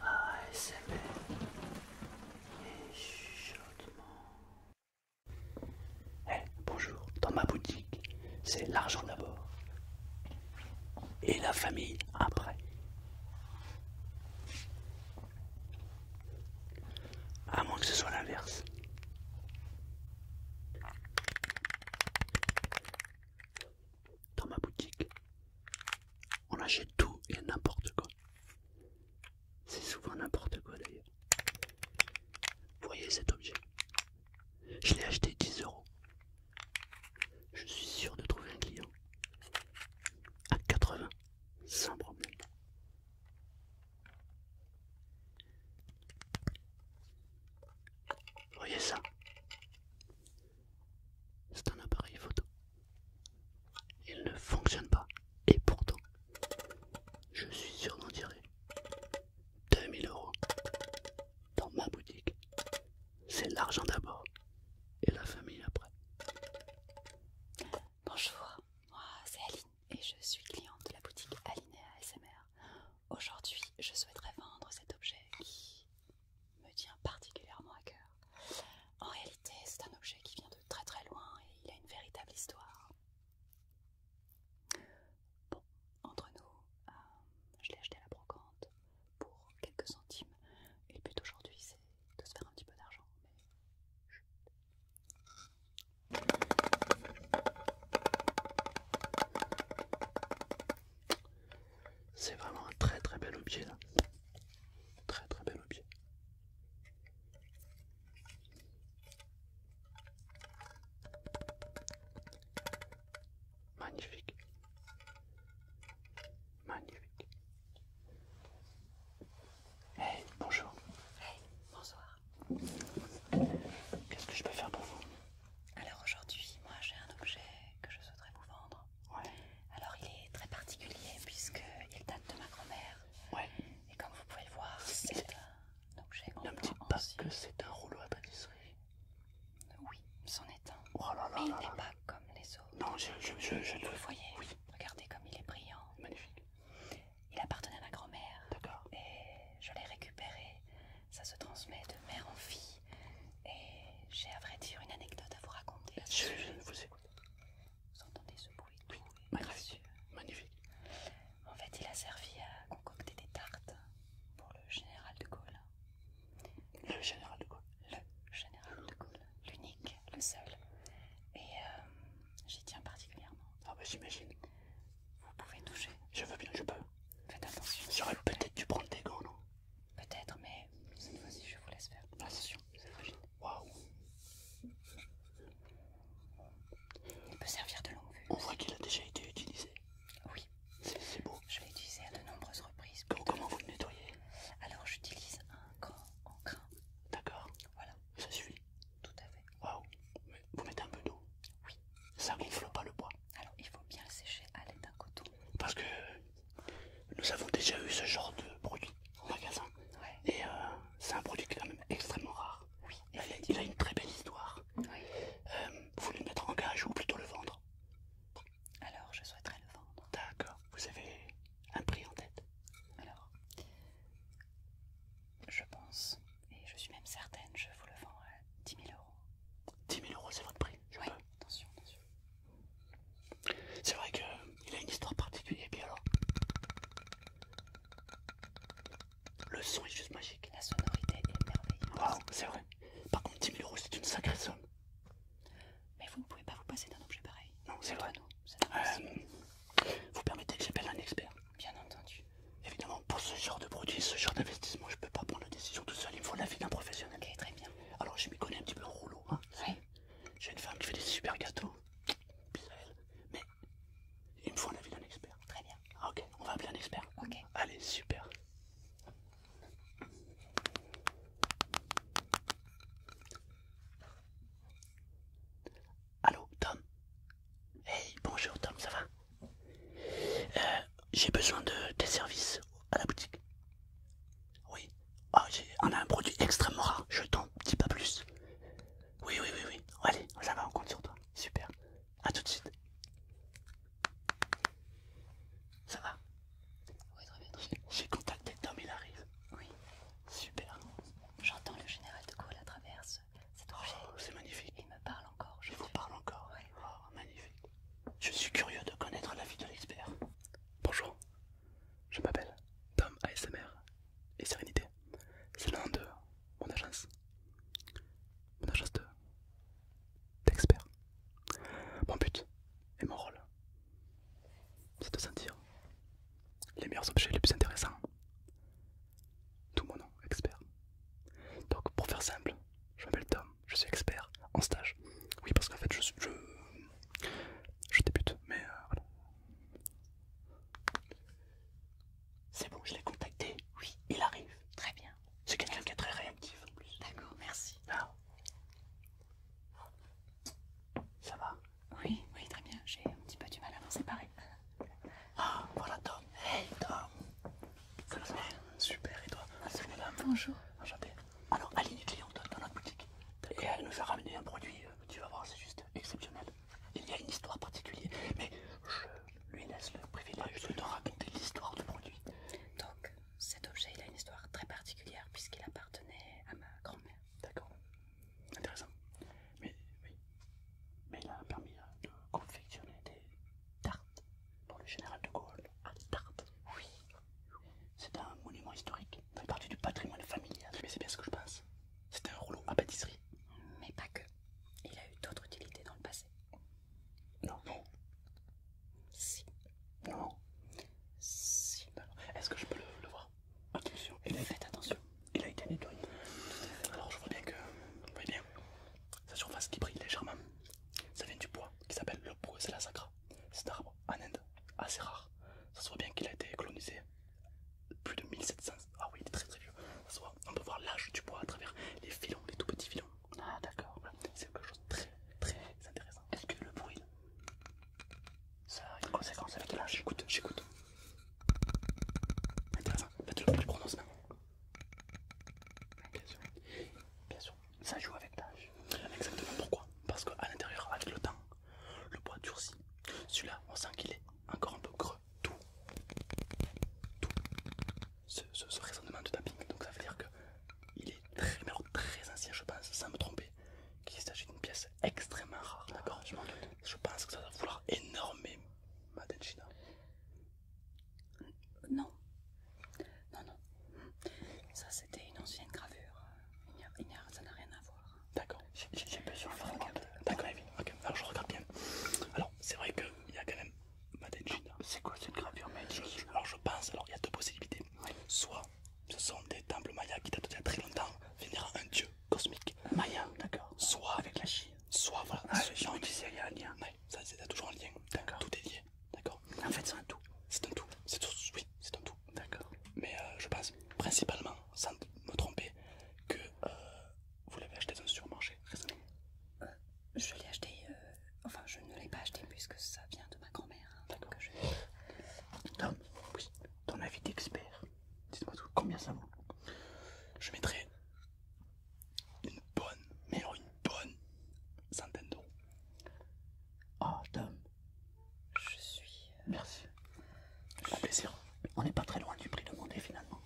ASMR et Eh bonjour, dans ma boutique, c'est l'argent d'abord et la famille après. À moins que ce soit l'inverse dans ma boutique, on achète tout et n'importe quoi. C'est souvent n'importe quoi d'ailleurs. voyez cet objet Je l'ai acheté 10 euros. Je suis sûr de trouver un client à 80 sans problème. voyez ça c'est un appareil photo. Il ne fonctionne pas. Et pourtant, je suis sûre d'en tirer 2000 euros dans ma boutique. C'est l'argent d'abord et la famille après. Bonjour, moi c'est Aline et je suis cliente de la boutique Alinea ASMR. Aujourd'hui, je souhaiterais vendre cet objet qui me tient particulièrement à cœur. En réalité, c'est un objet qui vient de très très loin et il a une véritable histoire. Bon, entre nous, euh, je l'ai acheté à la brocante pour quelques centimes et le but aujourd'hui c'est de se faire un petit peu d'argent. Mais... C'est vraiment un très très bel objet là. Très très bel objet. Magnifique. Magnifique. Hey, bonjour. Hey, bonsoir. Qu'est-ce que je peux faire pour vous alors aujourd'hui, moi j'ai un objet que je souhaiterais vous vendre. Alors il est très particulier puisqu'il date de ma grand-mère. Et comme vous pouvez le voir, c'est un objet Un Ne me que c'est un rouleau à Oui, c'en est un. Oh là là là là il n'est pas comme les autres. Non, je, le... voyais. voyez Regardez comme il est brillant. Magnifique. Il appartenait à ma grand-mère. D'accord. Et je l'ai récupéré. Ça se transmet de mère en fille. Et j'ai à vrai dire une anecdote à vous raconter. Je, vous écoute. Vous entendez ce bruit magnifique. En fait, il a servi à concocter des tartes pour le général de Gaulle. Le général de Gaulle Le général de Gaulle. L'unique, le seul. Et euh, j'y tiens particulièrement. Ah bah j'imagine. Vous pouvez toucher. Je veux bien, je peux. Faites attention. J'aurais peut-être dû prendre des gants, non Peut-être, mais cette fois-ci, je vous laisse faire. Attention, c'est Waouh Il peut servir de longue vue. On voit qu'il a déjà été utilisé. Oui. C'est beau. Je l'ai utilisé à de nombreuses reprises. comment vous le nettoyez Alors, j'utilise un gant en grain. D'accord. Voilà. Ça suffit Tout à fait. Waouh vous mettez un peu d'eau. Oui. Ça gonfle pas le bois. Alors il faut bien le sécher à l'aide d'un coton. Parce que nous avons déjà eu ce genre de produit en magasin. Et euh, c'est un produit qui est quand même extrêmement rare. Oui, il, a, une très belle histoire. Euh, vous voulez le mettre en garage ou plutôt le vendre Alors je souhaiterais le vendre. D'accord. Vous avez un prix en tête Alors, je pense et je suis même certaine, je vous le vends à 10 000 euros. 10 000 euros, c'est votre prix Oui, attention, attention. C'est vrai qu'il a une histoire particulière. Et puis alors Le son est juste magique. La sonorité est merveilleuse. Waouh, c'est vrai. Par contre, 10 000 euros, c'est une sacrée somme. Mais vous ne pouvez pas vous passer d'un objet pareil. Non, c'est vrai. Euh, vous permettez que j'appelle un expert. Bien entendu. Évidemment, pour ce genre de produit, ce genre d'investissement, je peux pas prendre la décision tout seul. Il me faut l'avis d'un professionnel. Ok, très bien. Alors, je m'y connais un petit peu en rouleau. Hein. J'ai une femme qui fait des super gâteaux. elle. Mais il me faut l'avis d'un expert. Très bien. Ah, ok, on va appeler un expert. Ok. Allez, super. Allô, Tom Hey, bonjour Tom, ça va euh, J'ai besoin de tes services à la boutique. Oui. Ah, on a un produit extrêmement rare, je t'en dis pas plus. Oui, oui, oui, oui. Allez, ça va, on compte sur toi. Super. À tout de suite. Ça va Oui, très bien, très bien. J'ai contacté Tom, il arrive. Oui. Super. J'entends le général de Gaulle à travers Oh, c'est magnifique. Il me parle encore. Je vous parle encore. Oh, magnifique. Je suis curieux de connaître la vie de l'expert. Bonjour, je m'appelle Tom ASMR et Sérénité. C'est le nom de mon agence. Mon agence de d'expert. Mon but et mon rôle, c'est de sentir les meilleurs objets les plus intéressants tout mon nom, expert. Donc pour faire simple, je m'appelle Tom, je suis expert en stage. Oui parce qu'en fait je Je, je débute, mais euh, C'est bon, je l'ai contacté. Oui, il arrive. Très bien. C'est quelqu'un qui est très réactif en plus. D'accord, merci. Ah. Ça va Oui, oui, très bien. J'ai un petit peu du mal à m'en séparer. Ah, voilà Tom. Hey Tom. ça va Super, et toi ah, Bonjour Bonjour. Alors, Aline est cliente dans notre boutique. Et elle nous a ramené un produit, euh, tu vas voir, c'est juste exceptionnel. Il y a une histoire particulière, mais je lui laisse le privilège de raconter l'histoire du produit. Donc, cet objet, il a une histoire très particulière puisqu'il appartenait à ma grand-mère. D'accord. Intéressant. Mais oui. Mais il a permis euh, de confectionner des tartes pour le général de Gaulle. Ah, des tartes Oui. C'est un monument historique. fait partie du patrimoine familial. Mais c'est bien ce que je pense. C'est un rouleau à pâtisserie. Mais pas que. Il a eu d'autres utilités dans le passé. Non. Non. Si. Non. Si. Est-ce que je peux le voir Attention. Faites attention. Il a été nettoyé. Alors je vois bien que, sa surface qui brille légèrement, ça vient du bois qui s'appelle le la sacra. C'est un arbre en Inde assez rare. Ça se voit bien qu'il a été colonisé plus de 1700. Ah oui, il est très très vieux. on peut voir l'âge du bois à travers les filons, les tout petits filons. Ah d'accord, c'est quelque chose de très très intéressant. Est-ce que le bruit ça a une conséquence avec l'âge. J'écoute, j'écoute. Intéressant. le le que je Bien sûr. Ça joue avec l'âge. Exactement. Pourquoi Parce qu'à l'intérieur, avec le temps, le bois durcit. Celui-là, on sent qu'il est encore un peu creux. Tout. Tout. Ce, raisonnement de tapping. Donc ça veut dire que il est très ancien, je pense, sans me tromper est qu'il s'agit d'une pièce extrêmement rare. D'accord, ah, je pense que ça va vouloir énormément China euh, Non, non, non. Ça, c'était une ancienne gravure. ça n'a rien à voir. D'accord, j'ai peu sur D'accord, ok. Alors, je regarde bien. Alors, c'est vrai qu'il y a quand même ah, China C'est quoi cette gravure magique Alors, je pense, alors il y a deux possibilités. Soit ce sont des temples mayas qui datent d'il y a très longtemps, vénérant un dieu cosmique maya, d'accord. Soit avec la Chine, soit voilà. Ah, les gens disaient il y a un lien. Ouais, ça c'est toujours un lien. D'accord. Tout est lié, d'accord. En fait, c'est un tout. C'est un tout. C'est tout. Oui, c'est un tout. D'accord. Mais euh, je pense principalement, sans me tromper, que euh, vous l'avez acheté dans un supermarché récemment. Euh, je l'ai acheté. enfin, je ne l'ai pas acheté puisque ça vient de ma grand-mère. Hein, d'accord. Je... Donc oui, dans d'expert. Dites-moi tout, combien ça vaut Je mettrai une bonne, mais une bonne centaine Ah, oh, Je suis. Euh, Merci. Un plaisir. On n'est pas très loin du prix demandé finalement.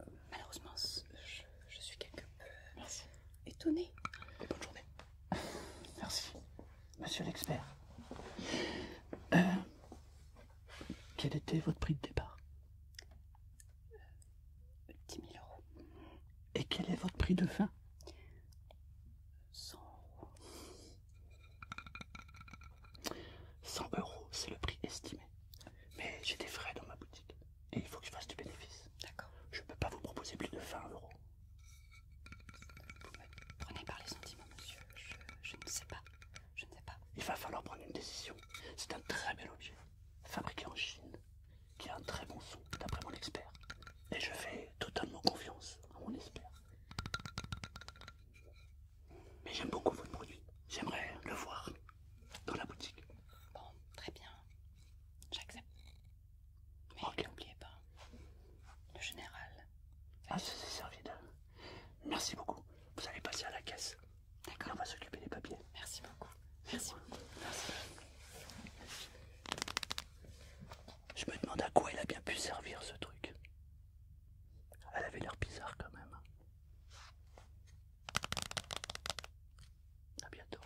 Euh, malheureusement, je, suis quelque peu euh, étonnée. bonne journée. Merci, monsieur l'expert. Euh, quel était votre prix de départ 10 000 euros. Et quel est votre prix de fin 100 euros. 100 euros, c'est le prix estimé. Mais j'ai des frais dans ma boutique et il faut que je fasse du bénéfice. D'accord. Je ne peux pas vous proposer plus de 20 euros. Vous prenez par les sentiments, monsieur. Je, je ne sais pas. Je ne sais pas. Il va falloir prendre une décision. C'est un très bel objet, fabriqué en Chine, qui a un très bon son, d'après mon expert. Et je fais totalement confiance à mon expert. Mais j'aime beaucoup votre produit. J'aimerais le voir dans la boutique. Bon, très bien. J'accepte. Mais n'oubliez pas, le général. Ah, s'est servi de. Merci beaucoup. Vous allez passer à la caisse. D'accord. On va s'occuper des papiers. Merci beaucoup. Merci beaucoup. Merci. Je me demande à quoi elle a bien pu servir ce truc. Elle avait l'air bizarre quand même. À bientôt.